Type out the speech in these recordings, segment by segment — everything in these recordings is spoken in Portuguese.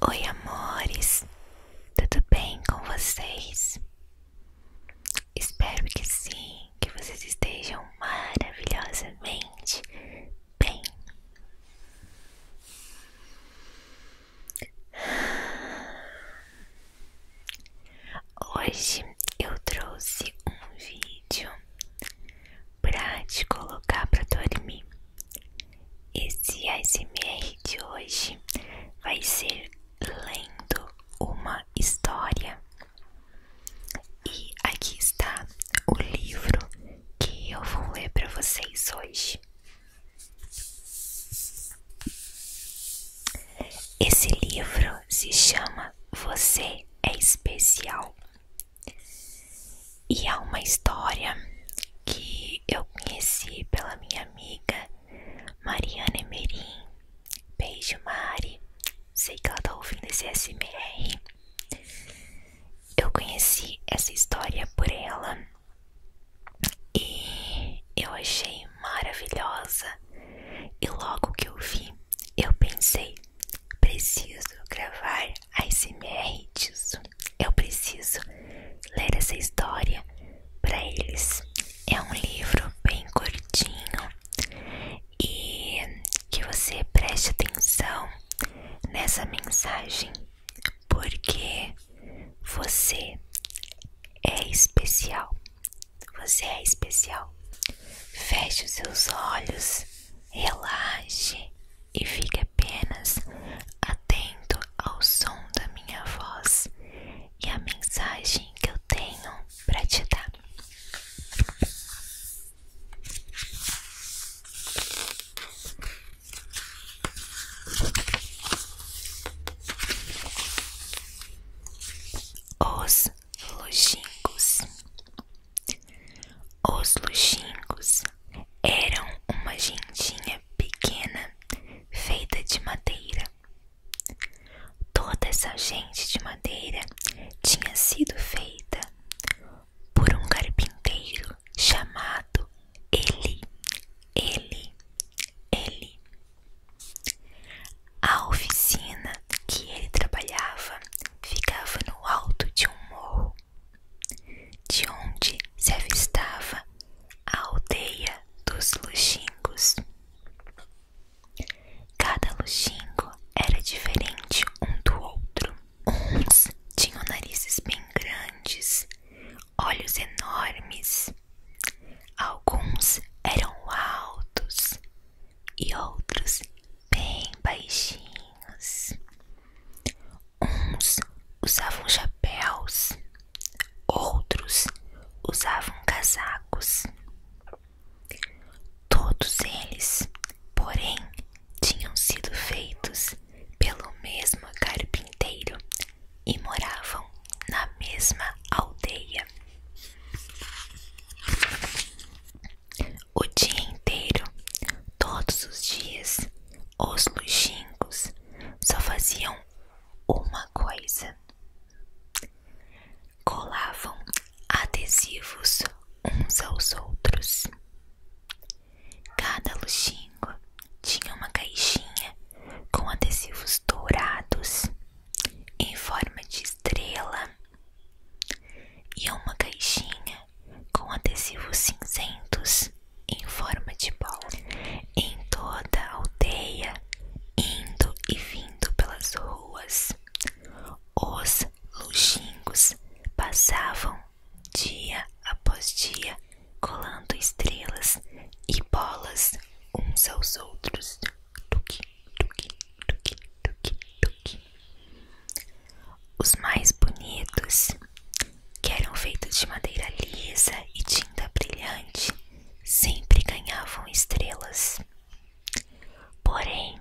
Oi, amores, tudo bem com vocês? Espero que sim, que vocês estejam maravilhosamente bem. Hoje eu trouxe um vídeo para te colocar para dormir. Esse ASMR de hoje vai ser lendo uma história. E aqui está o livro que eu vou ler para vocês hoje. Esse livro se chama Você é Especial e há é uma história que eu conheci pela minha amiga Mariana Emerim. Beijo, Mari. Sei que ela tá ouvindo esse SMR. Eu conheci essa história por ela e eu achei maravilhosa. E logo que eu vi, eu pensei: preciso gravar ASMR disso. Eu preciso ler essa história para eles. É um livro bem curtinho e que você preste atenção nessa mensagem, porque você é especial. Você é especial. Feche os seus olhos, relaxe e fica apenas atento ao som da minha voz e a mensagem que eu tenho para te dar. Os longínquos os luxingos eram uma gentinha pequena feita de madeira. Toda essa gente de madeira tinha sido feita por um carpinteiro chamado Ele, Ele, Ele. A oficina que ele trabalhava ficava no alto de um morro de onde se avistava a aldeia dos luxingos. Cada luxingo era diferente um do outro. Uns tinham narizes bem grandes, olhos enormes, alguns eram altos e outros bem baixinhos. Uns usavam chapéus, outros usavam casacos. Todos eles, porém, tinham sido feitos pelo mesmo carpinteiro e moravam na mesma aldeia o dia inteiro, todos os dias, os luxingos só faziam uma coisa: colavam adesivos uns aos outros. Cada luxingo tinha uma caixinha com adesivos dourados em forma de estrela e uma caixinha com adesivos cinzentos em forma de bola em toda aldeia, indo e vindo pelas ruas. Os luxingos passavam dia após dia colando estrelas e bolas uns aos outros. Tuque, tuque, tuque, tuque, tuque, os mais bonitos, que eram feitos de madeira lisa e tinta brilhante, sempre ganhavam estrelas. Porém,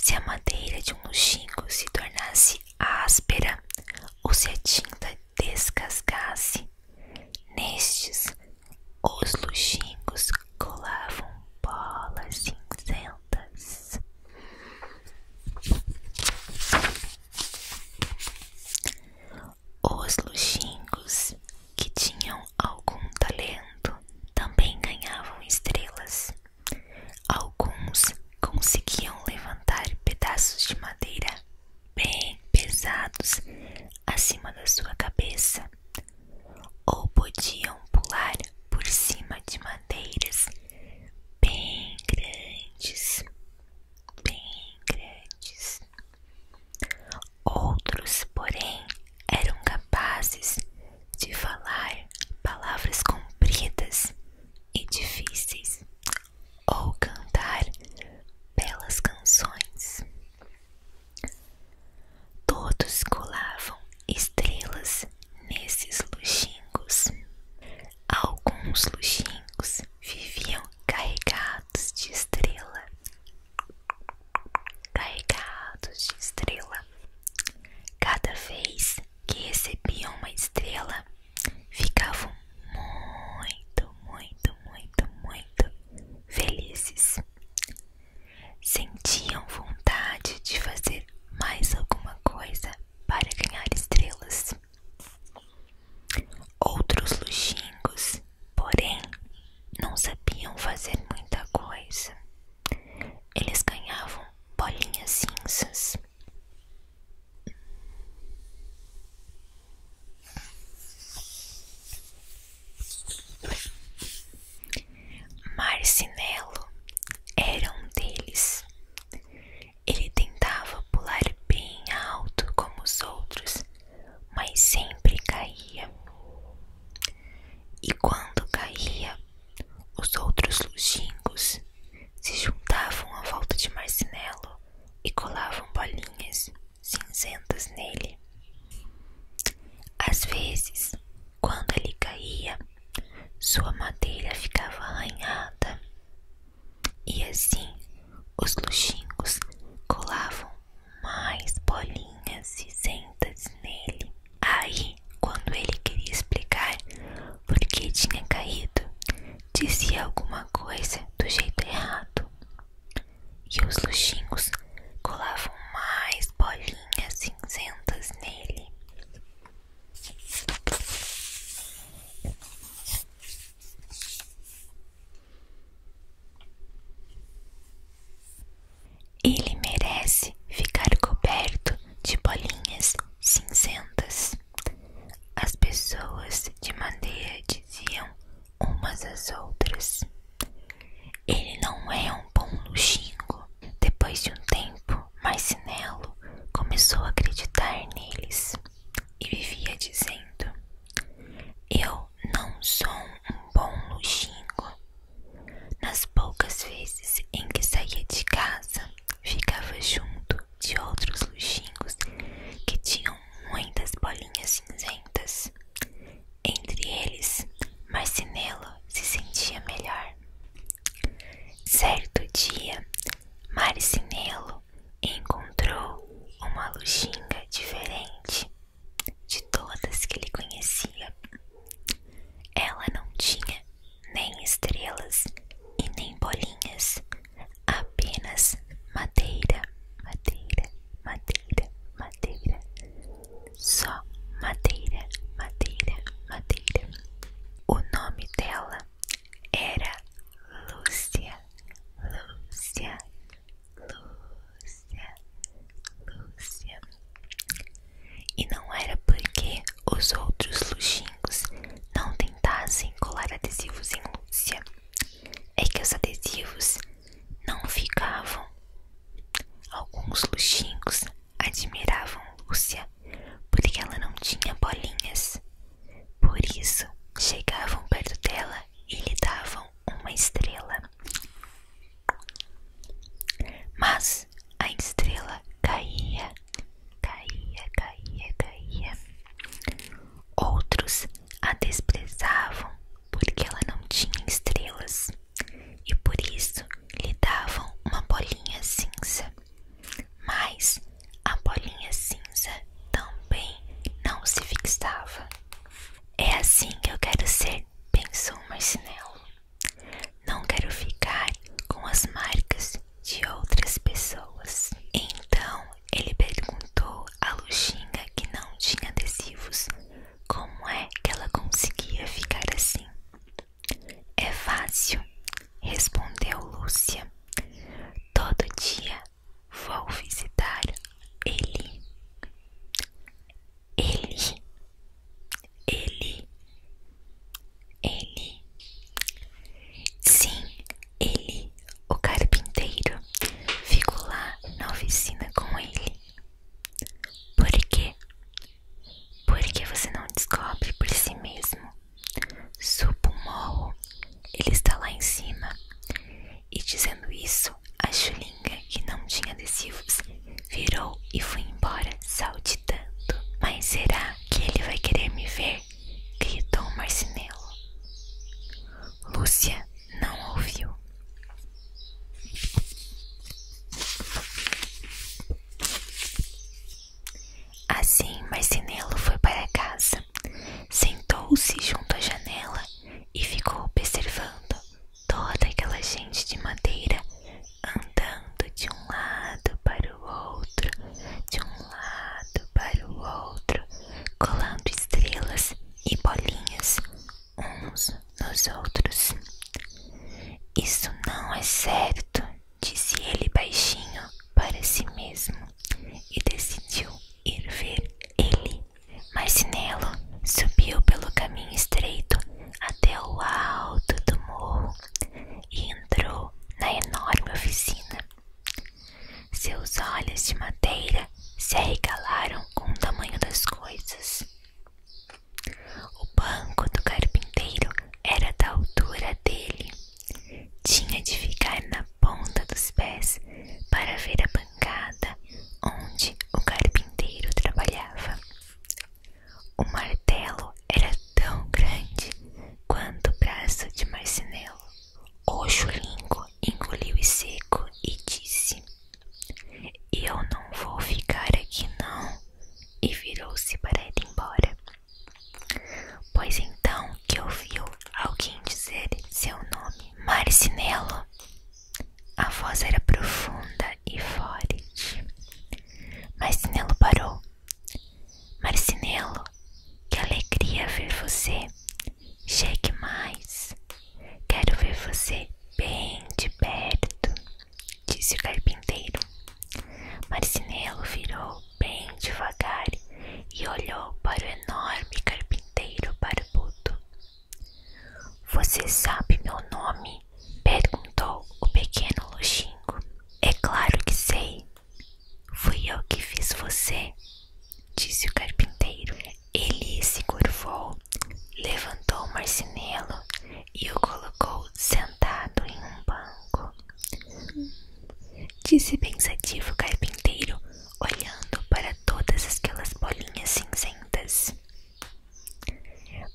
se a madeira de um luxingo se tornasse áspera ou se a tinta descascasse, nestes os luxingos colavam bolas cinzentas. Os luxingos que tinham algum talento também ganhavam estrelas. Alguns conseguiam levantar pedaços de madeira bem pesados acima da sua cabeça ou podiam pular por cima de madeiras bem grandes, bem grandes. Outros, porém, eram capazes de falar palavras compridas e difíceis ou cantar belas canções. Todos colavam estrelas nesses luxingos. Alguns luxingos viviam carregados de estrela. Carregados de estrela. Cada vez que recebiam uma estrela, ficavam muito, muito, muito, muito felizes. Sentiam vontade de fazer mais alguma coisa para ganhar estrelas. Outros luxingos, porém, não sabiam fazer muita coisa. Eles ganhavam bolinhas cinzas. Marcinelo era um deles. Ele tentava pular bem alto como os outros, mas sempre caía. E quando caía, os outros longínquos se juntavam à volta de Marcinelo e colavam bolinhas cinzentas nele. Às vezes, quando ele caía, sua madeira ficava arranhada, e assim os luxingos colavam mais bolinhas cinzentas nele. Aí, quando ele queria explicar por que tinha caído, dizia alguma coisa do jeito errado, e os luxingos colavam mais bolinhas cinzentas nele. Ele merece ficar coberto de bolinhas cinzentas. As pessoas de madeira diziam umas às outras. Ele não é um bom luxingo. Depois de um tempo, Marcinelo começou a acreditar neles e vivia dizendo: Eu não sou um bom luxingo. Nas poucas vezes em que saía de casa, ficava junto de outros luxingos que tinham muitas bolinhas cinzentas entre eles, Marcinelo se sentia melhor. Certo dia, Marcinelo encontrou uma luxinga diferente de todas que ele conhecia. Ela não tinha nem estrelas e nem bolinhas, apenas madeira, madeira, madeira, madeira, só madeira, madeira, madeira. O nome dela era Lúcia, Lúcia, Lúcia, Lúcia. E não era porque os outros luxingos não tentassem colar adesivos em Lúcia. É que os adesivos não ficavam. Alguns luxingos admiravam Lúcia porque ela não tinha bolinhas. Por isso, chegavam perto dela e lhe davam uma estrela. Mas a estrela caía, caía, caía, caía. Outros a desprezavam porque ela não tinha estrelas e por isso lhe davam uma bolinha cinza. Mas a bolinha cinza também não se fixava. É assim que eu quero ser, pensou Marcinelo. Não quero ficar com as marcas de outras pessoas. Então ele perguntou à Luxinha que não tinha adesivos como é que ela conseguia ficar assim? É fácil, respondeu Lúcia. Todo dia vou visitar ele. Ele, ele, ele. Sim, ele, o carpinteiro fico lá na oficina com ele. Por quê? Porque você não descobre por si mesmo. Suba ele está lá em cima. E dizendo isso, a chulinha que não tinha adesivos virou e foi embora saltitando. Mas será que ele vai querer me ver? gritou o marcinelo. Lúcia não ouviu. Assim, mais sinelo foi para casa, sentou-se junto à janela e ficou observando toda aquela gente de madeira andando de um lado para o outro, de um lado para o outro, colando estrelas e bolinhas uns nos outros. Isso não é certo, disse ele baixinho para si mesmo e decidiu ir ver ele. Mas Nelo subiu pelo caminho estreito até o alto do morro e entrou na enorme oficina. Seus olhos de madeira se arregalaram com o tamanho das coisas. O banco do carpinteiro era da altura dele. Tinha de ficar na ponta dos pés para ver a bancada onde o carpinteiro trabalhava. O martelo era tão grande quanto o braço de marcenelo. O chulingo engoliu seco e disse: Eu não vou ficar aqui, não. E virou-se para ir embora. Pois então que ouviu alguém dizer seu nome: Marcinelo. A voz era profunda e forte. Marcinelo parou. Marcinelo, que alegria ver você. Chegue mais. Quero ver você bem de perto, disse o carpinteiro. Marcinelo virou bem devagar e olhou para o enorme carpinteiro barbudo. Você sabe meu nome? perguntou o pequeno luxingo. É claro que sei, Fui eu que fiz você, disse o carpinteiro. Ele se curvou, levantou o marcinelo e o colocou sentado em um banco. Disse pensativo o carpinteiro, olhando para todas aquelas bolinhas cinzentas.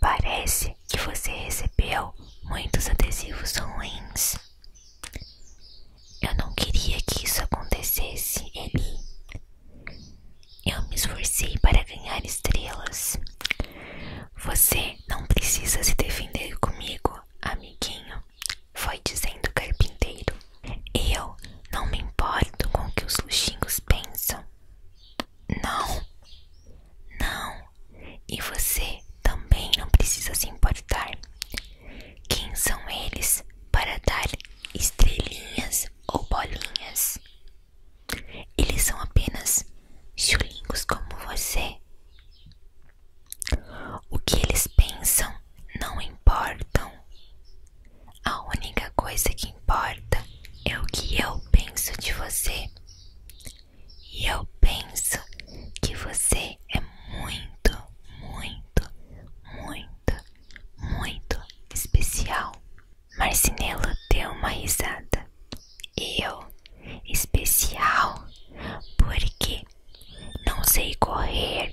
Parece que você recebeu muitos adesivos ruins. Eu não queria que isso acontecesse, Eli. Eu me esforcei para ganhar estrelas. Você não precisa se defender comigo, amiguinho, foi dizendo o carpinteiro. Eu não me importo com o que os luxingos pensam. Não, não, e você também não precisa se importar. Quem são eles para dar estrelinhas ou bolinhas? Eles são apenas chulingos como você. O que eles pensam não importa. A única coisa que importa é o que eu penso de você. E eu penso que você é muito, muito, muito, muito especial. Marcinelo deu uma risada. Eu, especial, porque não sei correr,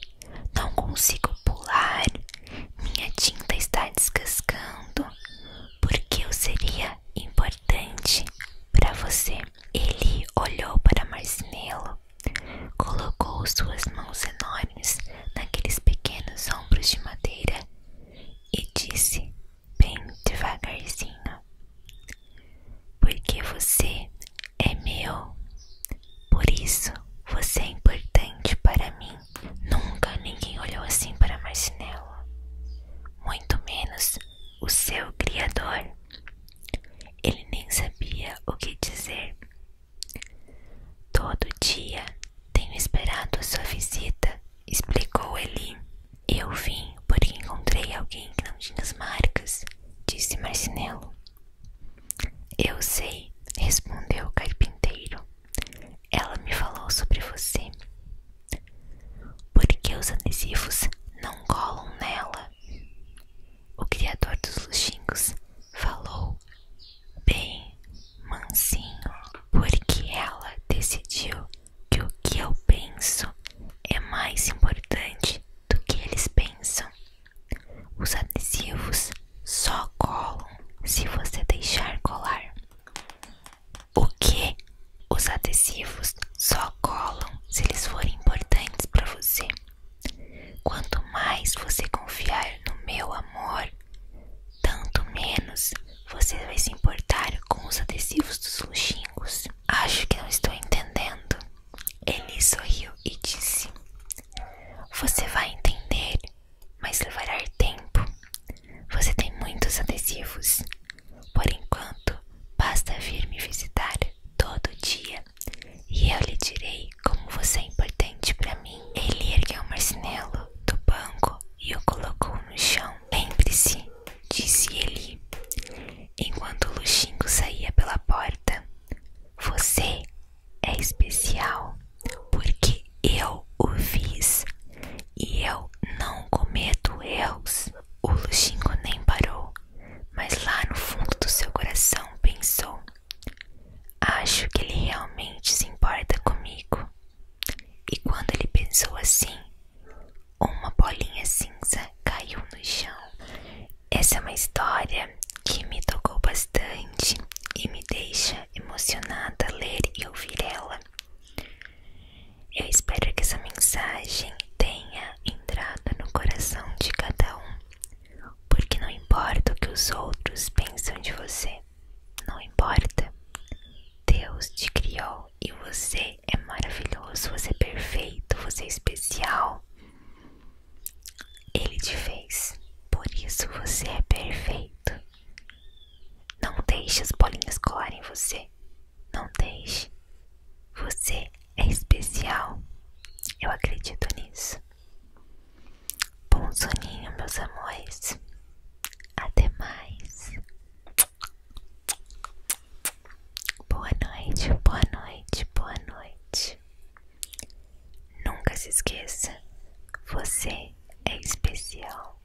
não consigo pular, minha tinta está descascando, porque eu seria importante para você. Ele olhou para Marcinelo Colocou suas mãos enormes naqueles pequenos ombros de madeira e disse, bem devagarzinho: Porque você é meu. Por isso você é importante para mim. Nunca ninguém olhou assim para Marcinela, muito menos o seu criador. Ele nem sabia o que dizer. Todo dia tenho esperado sua visita, explicou ele. Eu vim porque encontrei alguém que não tinha as marcas, disse Marcinelo. Eu sei, respondeu o carpinteiro. Ela me falou sobre você. Por que os adesivos não colam nela? o criador dos luxingos, falou bem mansinho, porque ela decidiu que o que eu penso é mais importante do que eles pensam. Os adesivos só colam se você deixar colar. O que? Os adesivos só colam se eles forem importantes para você. Quanto mais você confiar no meu amor, tanto menos você vai se importar com os adesivos dos luxingos. Acho que não estou entendendo. Ele sorriu e disse: Você vai entender, mas levará tempo. Você tem muitos adesivos. Por enquanto, basta vir me visitar todo dia e eu lhe direi como você é importante para mim. Ele ergueu o marcinelo do banco e o colocou no chão. Lembre-se, disse ele, enquanto o Luxingo saía pela porta. Você é especial porque eu o fiz e eu não cometo erros. O Luxingo nem parou, mas lá no fundo do seu coração pensou: Acho que ele realmente se importa comigo. E quando ele pensou assim, uma bolinha cinza caiu no chão. Essa é uma história que me tocou bastante e me deixa emocionada ler e ouvir ela. Eu espero que essa mensagem tenha entrado no coração de cada um, porque não importa o que os outros pensam de você, não importa. Deus te criou e você é maravilhoso, você é perfeito, você é especial. Ele te fez, por isso você é perfeito. Não deixe as bolinhas colarem você. Não deixe. Você é especial. Eu acredito nisso. Bom soninho, meus amores. Até mais. Boa noite, boa noite, boa noite. Nunca se esqueça, você é especial.